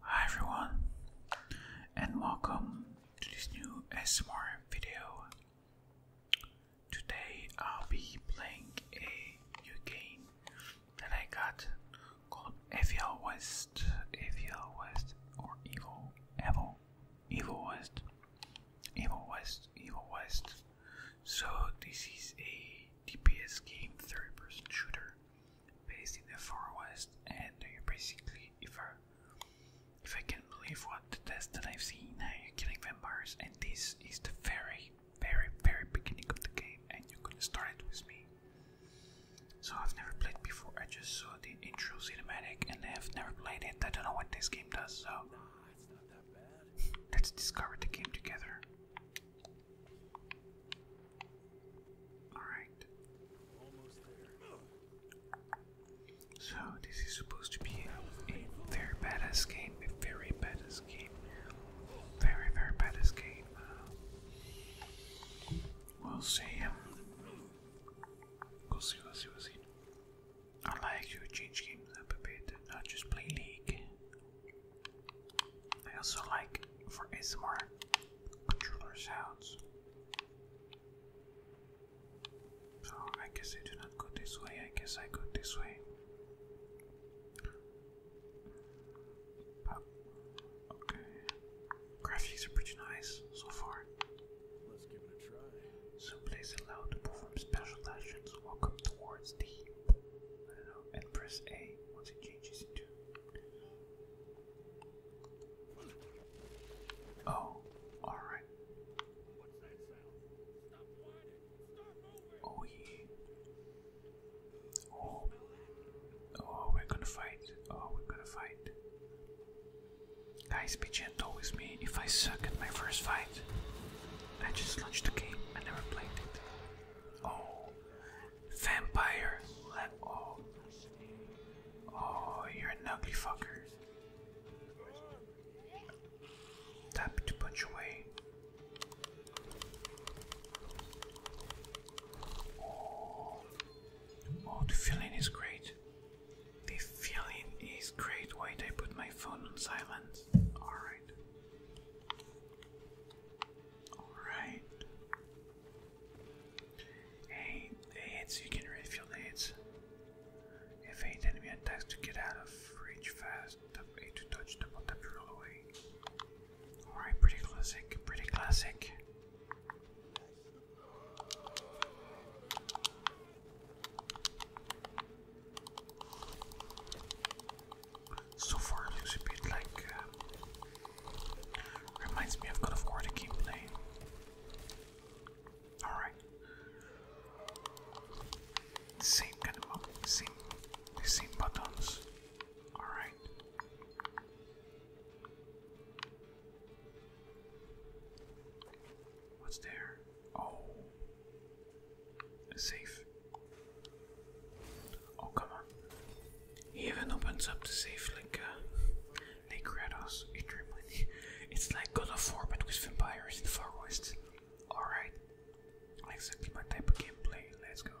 Hi everyone, and welcome to this new ASMR video. Today I'll be playing a new game that I got called Evil West, Evil West, or Evil, Evil, Evil West, Evil West, Evil West. So this is a DPS game, third-person shooter based in the far west, and you're basically if I if I can believe what the test that I've seen, now you're killing vampires, and this is the very, very, very beginning of the game, and you're gonna start it with me. So I've never played before. I just saw the intro cinematic, and I've never played it. I don't know what this game does, so. Let's discover the game together. Alright. So this is supposed to be a, very badass game, a very badass game. Very, very badass game. we'll see. We'll see, we'll see, we'll see. I like to change games up a bit, not just play League. I also like for ASMR controller sounds. So I guess I go this way, I guess I go this way. okay. Graphics are pretty nice so far. Let's it a to perform special actions. Walk up towards the and press A once it changes into Oh, all right. What's oh, oh. Oh, we're gonna fight. Oh, we're gonna fight. Guys, be gentle with me. If I suck at my first fight, I just launched the game. I never played it. Oh, Vampire. Let oh. Oh, you're an ugly fucker. Tap to punch away. Oh, oh the feeling is great. The feeling is great. Wait, I put my phone on silent. Alright. Alright. Hey, the you can refuel the If eight enemy attacks to get out of reach fast, tap to touch, double tap to roll away. Alright, pretty classic, pretty classic. So far, it looks a bit like. Uh, reminds me of God of War the gameplay. Alright. Same kind of same, same buttons. Alright. What's there? Oh. A safe. Oh, come on. He even opens up the safe like uh, Lake Kratos in It's like God of War, but with vampires in the Far Alright. Exactly my type of gameplay. Let's go.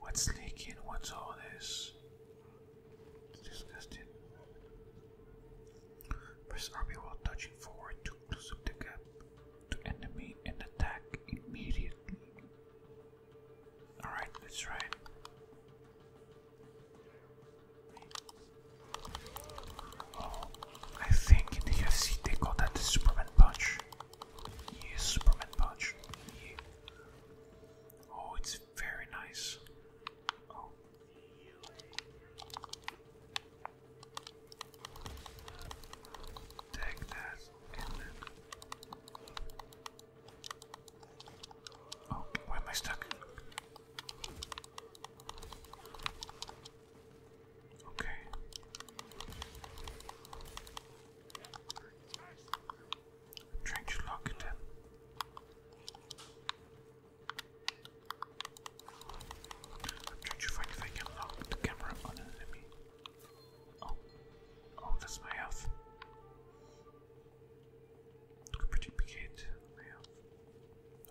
What's leaking? What's all this? disgusting. Press RB while touching forward to close the gap to enemy and attack immediately. Alright, let's try Oh, I think in the UFC they call that the Superman Punch. Yeah, Superman Punch. Oh, it's very nice. Take that Oh, where am I stuck? Okay. Change locked. I'm trying to find if I can lock the camera on an enemy. Oh, oh, that's my health. Pretty big hit.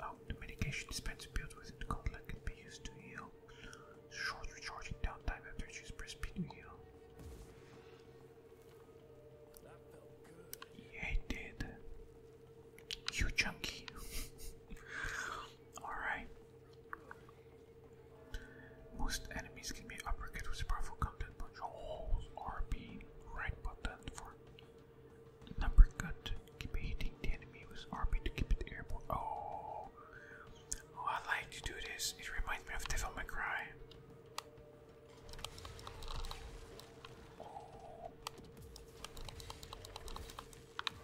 Oh, the medication dispenser built within the gauntlet can be used to heal. Short recharging downtime after you press P heal. Yeah, it did. You chunky. Alright. Most enemies can be uppercut with powerful content punch. Hold RB right button for number cut. Keep hitting the enemy with RB to keep it airborne. Oh, oh I like to do this. It reminds me of Devil May Cry.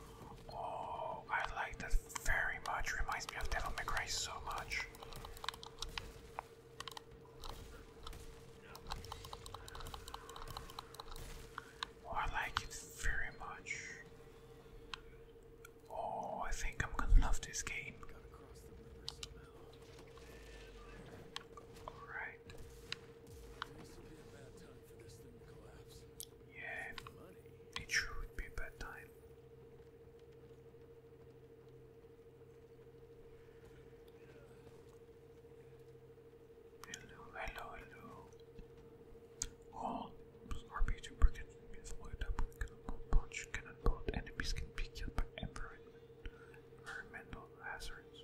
Oh, I like that very much. Reminds me of Devil May so much. Oh, I like it very much. Oh, I think I'm gonna love this game. Alright. Yeah, it sure be a bad time. Hello, hello, hello. Oh, RPG broken is loaded up enemies can be killed by environmental hazards.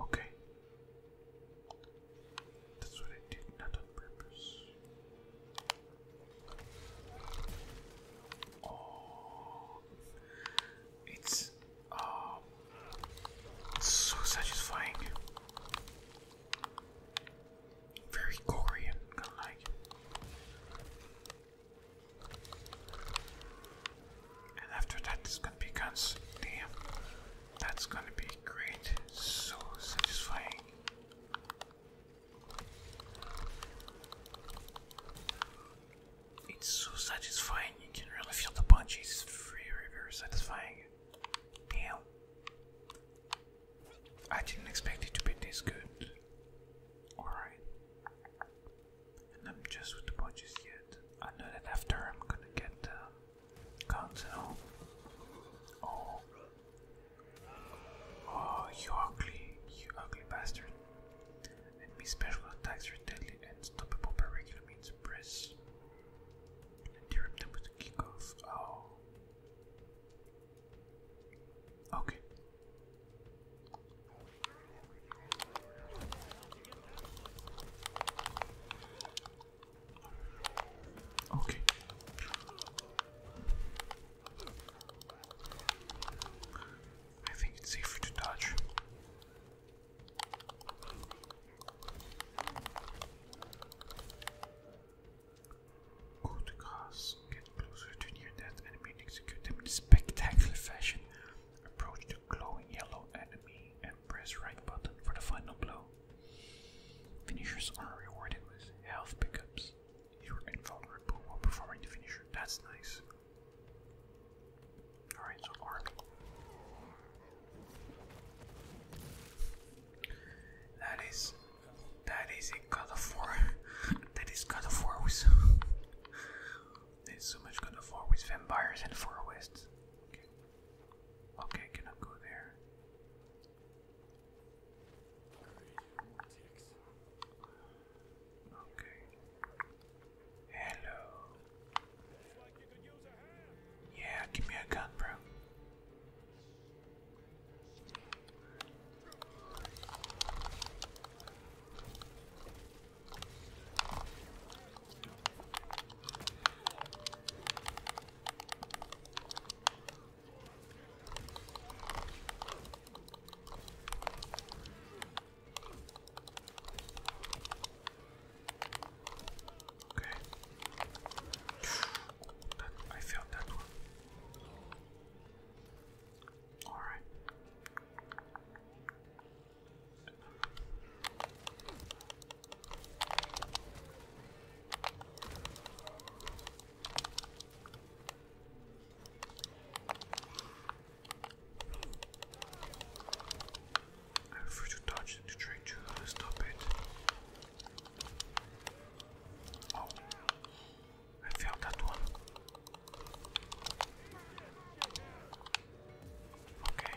Okay. That's what I did, not on purpose. Oh, it's um, so satisfying. Very gory and like. And after that it's gonna be guns. Damn. That's gonna be great. So satisfying. It's so satisfying, you can really feel the punch, it's very very satisfying. Damn. I didn't expect it to be this good. Alright. And I'm just with the punches yet. I know that after I'm gonna get the uh, Oh. Oh, you ugly. You ugly bastard. And me special attacks are deadly and stoppable by regular means. Press Interrupt them with a kickoff. Oh. Okay. Okay. I think it's safer to dodge. Go to get closer to your that enemy and execute them in spectacular fashion. Approach the glowing yellow enemy and press right button for the final blow. Finishers are rewarded with health pickups. You are invulnerable while performing the finisher. That's nice. Alright, so arc. That is that is a God of War. that is God of War with There's so much God of War with vampires and forests. Okay. Okay, cannot go there. Okay. Hello. Yeah, give me a gun, bro. Okay. That, I failed that one. Alright. I prefer to touch it to try to stop it. Oh, I failed that one. Okay.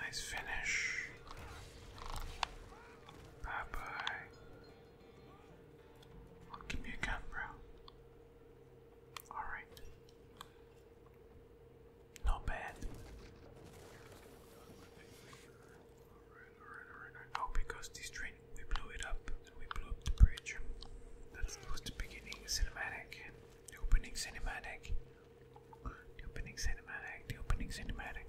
Nice finish. Bye bye. Oh, give you a gun, bro. Alright. Not bad. Oh, because this train, we blew it up. We blew up the bridge. That was the beginning cinematic. The opening cinematic. The opening cinematic. The opening cinematic.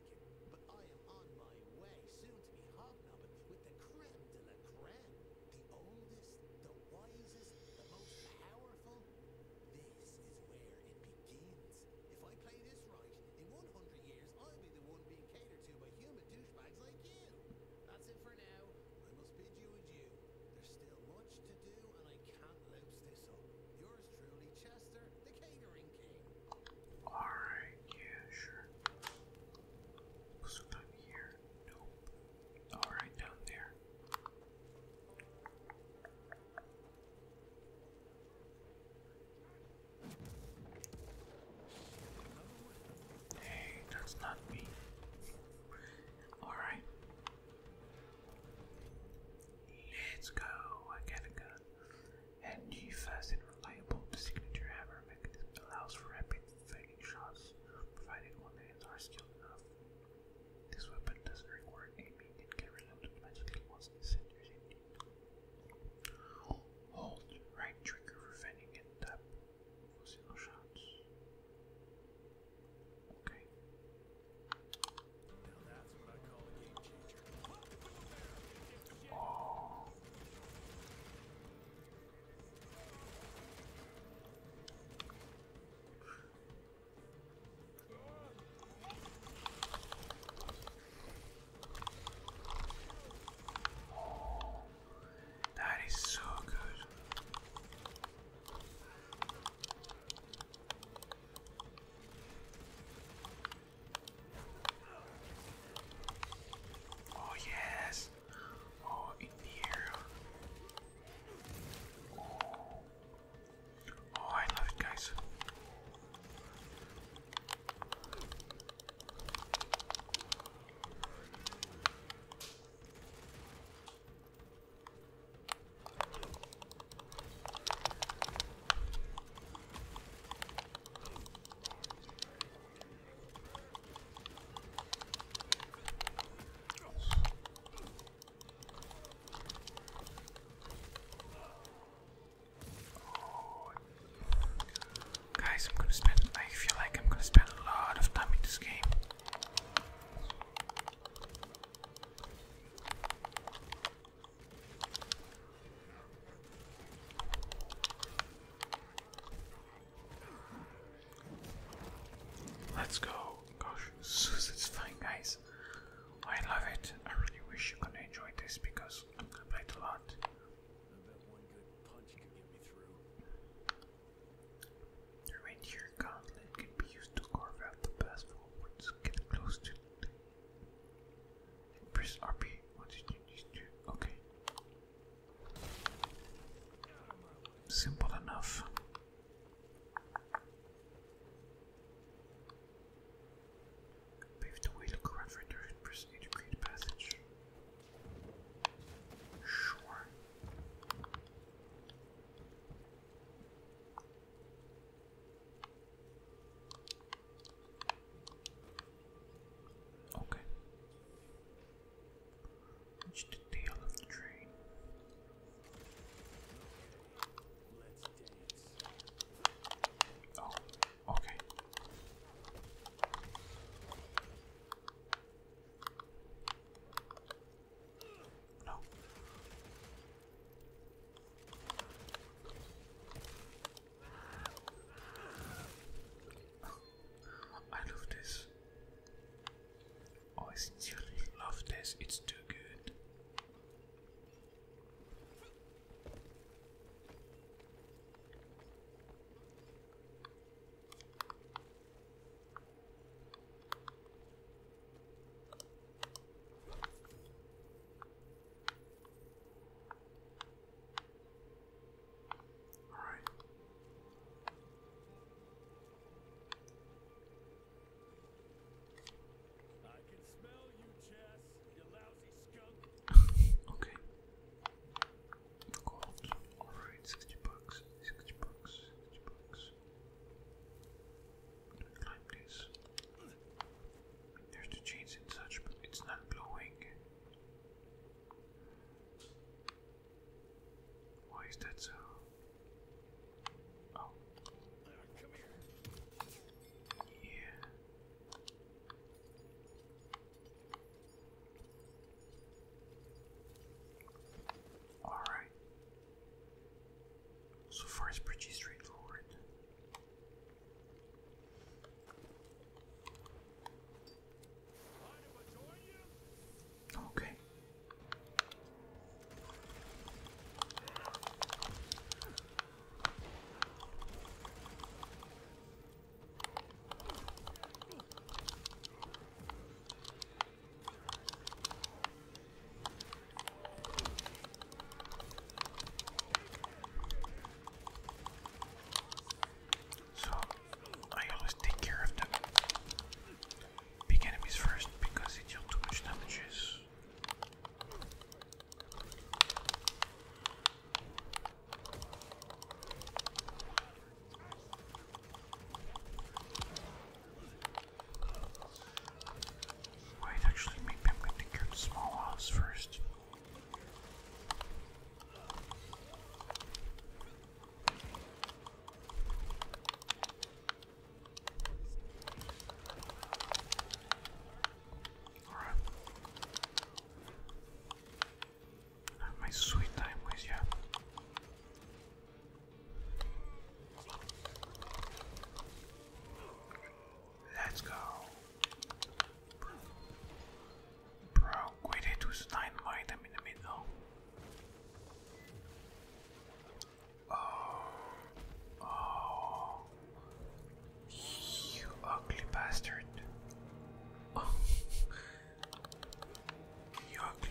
but I am on my way soon to be hobnobbing with the creme de la creme, the oldest, the wisest, the most powerful. This is where it begins. If I play this right, in 100 years, I'll be the one being catered to by human douchebags like you. That's it for now. I must bid you adieu. There's still much to do, and I can't loose this up. Yours truly, Chester, the catering Alright, yeah, sure. So I'm here. Alright, down there. Hey, that's not me. Alright. Let's go. I gotta go and the fast and reliable signature hammer mechanism allows for rapid fading shots, provided one hands are skilled enough. This weapon doesn't require aiming and can loaded automatically once the center is indeed. Hold right trigger for fanning and tap single shots. Okay. Oh. Oh, that is so good. Oh yes. Oh, in here. Oh. oh, I love it, guys. Guys, I'm gonna spend, I feel like I'm gonna spend a lot of time in this game. Let's go. Gosh, so satisfying, guys. I love it. I really wish you could enjoy this because I am going lot. I bet one good The reindeer gauntlet can be used to carve out the path for Get close to Press RP. What did you need Okay. Simple enough. Pave the way, for a press A to passage. Sure. Okay. Let's take of the train. Oh, okay. No. I love this. Oh, I sincerely love this. It's too good. All right. you, okay. All right, sixty bucks, sixty bucks, sixty bucks like There's the chains and such, but it's not blowing. Why is that so? Oh. Come here. Yeah. All right. So far, it's pretty straightforward. Okay. So I always take care of the big enemies first because they deal too much damages. Wait, actually, maybe I'm going to go to small house first. Alright. Have my sweet time with you. Let's go. Bro, quit it with dynamite. I'm in the middle. Oh, oh, you ugly bastard. Oh, you ugly.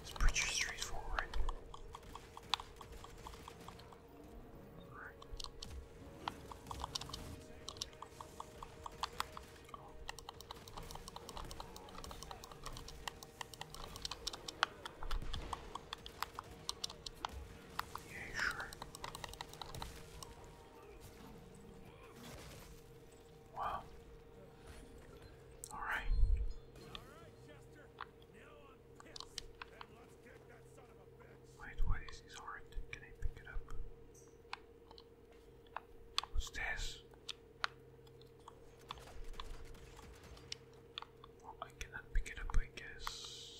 It's pretty straightforward. Yeah, sure. Wow. All right. Wait, what is this art? Can I pick it up? What's this? Well, I cannot pick it up, I guess.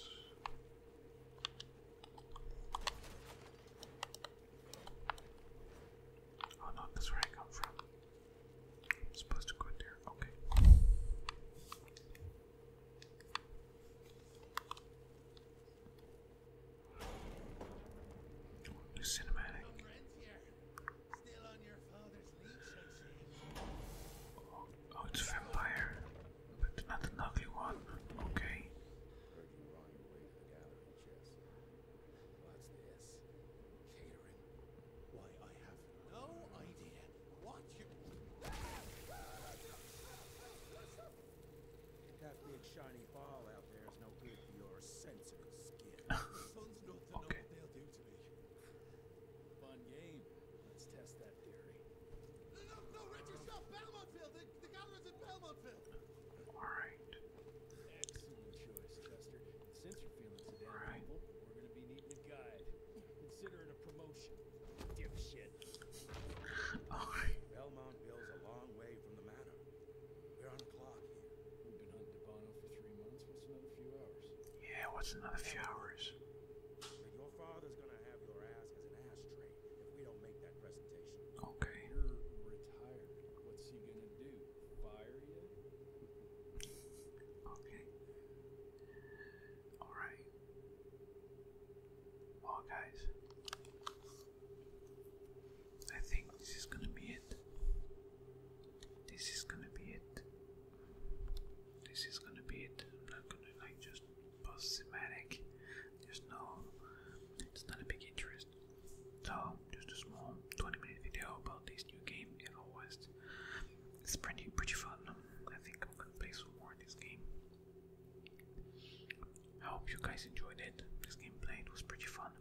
Oh no, that's where I come from. I'm supposed to go there. Okay. New cinematic. oh, it's a vampire, but not an ugly one. Okay. What's this? Catering? Why, I have no idea what you... That big shiny ball out there is no good for your sensitive skin. Sun's not to know what they'll do to me. Fun game. Let's test that theory. No, no, Richard, stop! Belmontville! The, the Gatherin's in Belmontville! Alright. Excellent choice, Chester. Since you're feeling so we're gonna be needing a guide. Consider a promotion. Dipshit. Alright. Belmont Bill's a long way from the manor. We're on the clock here. We've been hunting Devano for three months. What's another few hours? Yeah, what's another few hours? Okay. You're retired. What's he gonna do? Fire you? okay. Alright. Well, guys, I think this is gonna be it. This is gonna be it. This is gonna be it. I'm not gonna like just post thematic. There's no it's not a big interest. So, just a small 20 minute video about this new game, Evo West. It's pretty, pretty fun. Um, I think I'm gonna play some more of this game. I hope you guys enjoyed it. This game it was pretty fun.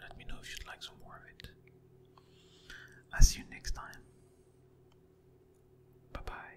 Let me know if you'd like some more of it. I'll see you next time. Bye bye.